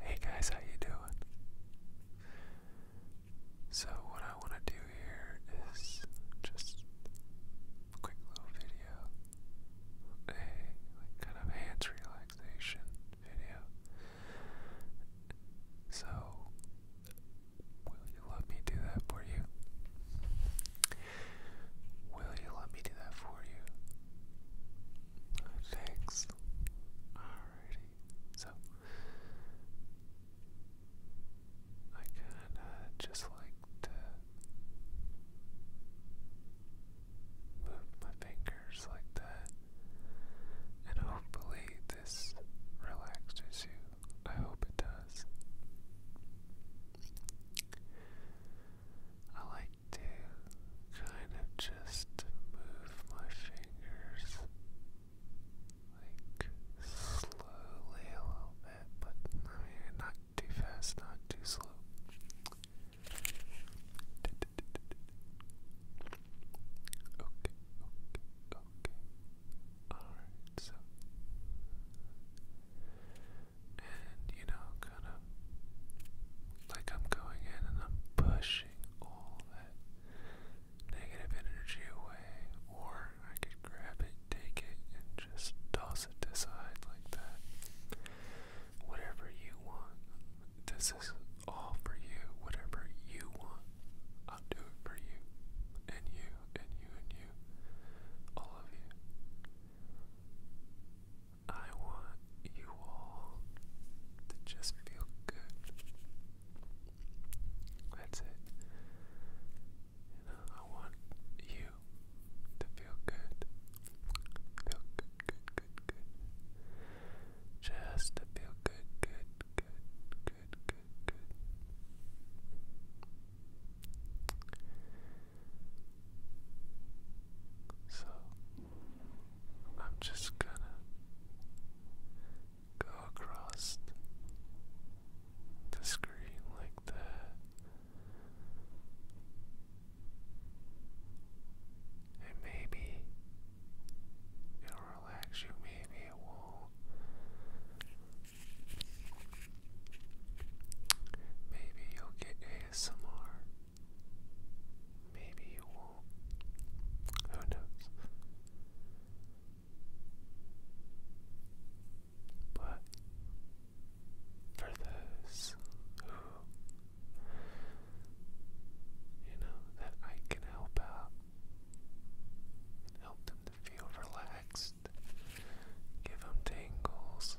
Hey guys, how you doing? So what I want to do here is just a quick little video, a kind of hands relaxation video. So will you let me do that for you? Will you let me do that for you? Thanks. Alrighty. So I kinda just like to move my fingers like that. And hopefully this relaxes you. I hope it does. I like to kind of just move my fingers like slowly a little bit, but I mean, not too fast, not too slow. Okay, okay, okay. Alright, so and you know, kind of like I'm going in and I'm pushing all that negative energy away, or I could grab it, take it, and just toss it aside like that. Whatever you want, this is all for you. Whatever you want, I'll do it for you, and you, and you, and you, all of you. I want you all to just feel good. That's it. I want you to feel good. Feel good, good, good, good. Just to feel good, good, good, good, good, good. So I'm just gonna go across the screen like that. And maybe it'll relax you, maybe it will Maybe you'll get ASMR. Maybe you won't. Who knows? But for those who, you know, that I can help out help them to feel relaxed, give them tingles,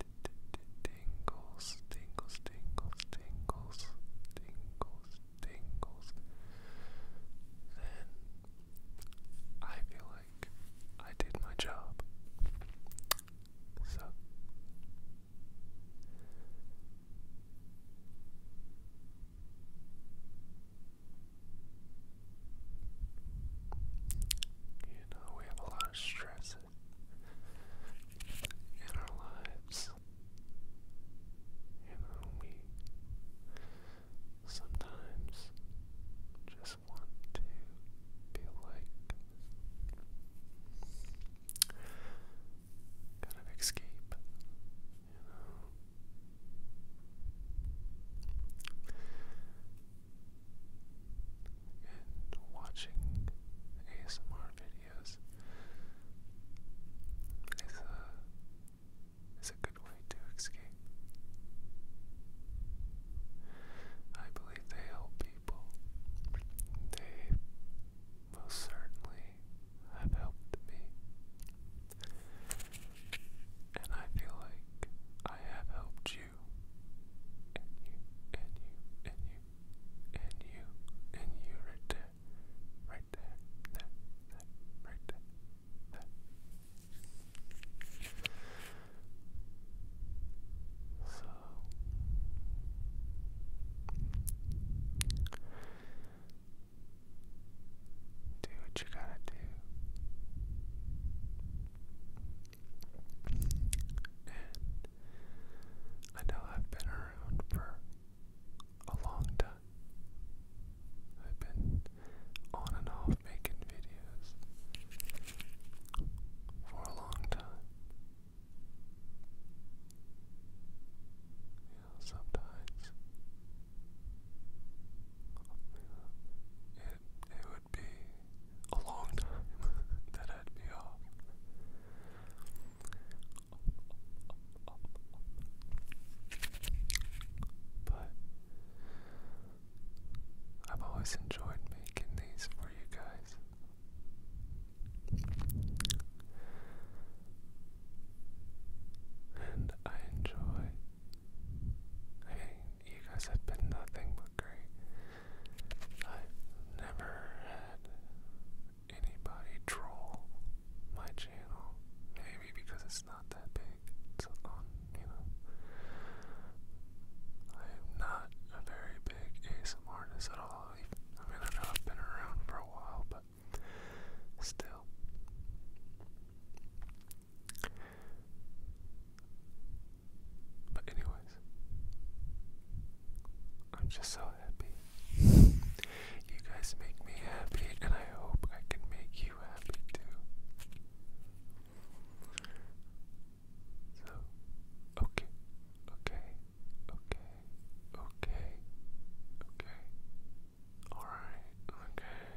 tingles, tingles, tingles, tingles, tingles, tingles. Then I feel like I did my job. So you know, we have a lot of stress presence in our lives, even when we sometimes just want to feel like kind of escape, you know and watching ASMR videos is a, is a good way to escape. I believe they help people. They most certainly have helped me. And I feel like I have helped you you, and you, and you, and you, and you, and you, right there, right there, there, there, right there, there. So do what you gotta do. And I know I've been around for a long time. I've been on and off making videos for a long time. You know, sometimes you it, it be a long time that I'd be off. But I've always enjoyed making these for you guys. And I enjoy. I you guys have been nothing but great. I've never had anybody troll my channel. Maybe because it's not that big. It's you know. I am not a very big ASM artist at all. I mean, I know I've been around for a while, but still. But anyways, I'm just so happy. You guys make me happy, and I hope I can make you happy too. So, okay, okay, okay, okay, okay. Alright, okay.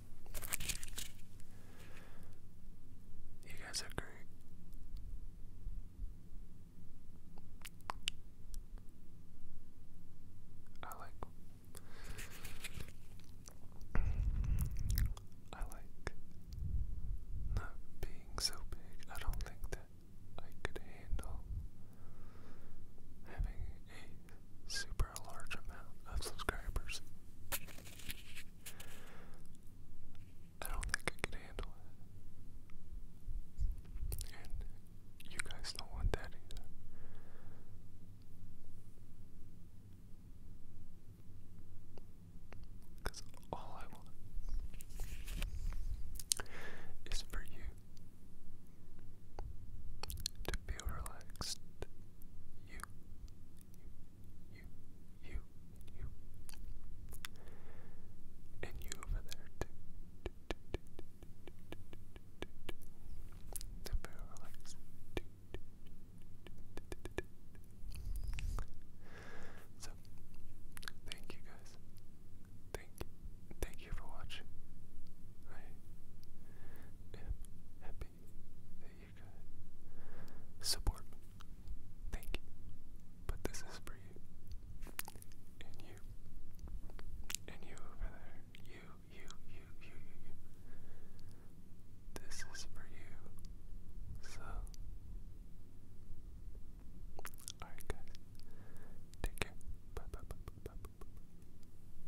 You guys are great. I like I like not being so big. I don't think that I could handle having a super large amount of subscribers. I don't think I can handle it. And you guys don't want that either. Because all I want is for you to feel relaxed. You, you, you, you, you. And you over there To feel relaxed. So, thank you guys. Thank, thank you for watching. I am happy that you could support me. Thank you. But this is for you. And you. And you over there. you, you, you, you, you. This is for you. So. Alright, guys. Take care. Bye bye bye bye bye bye.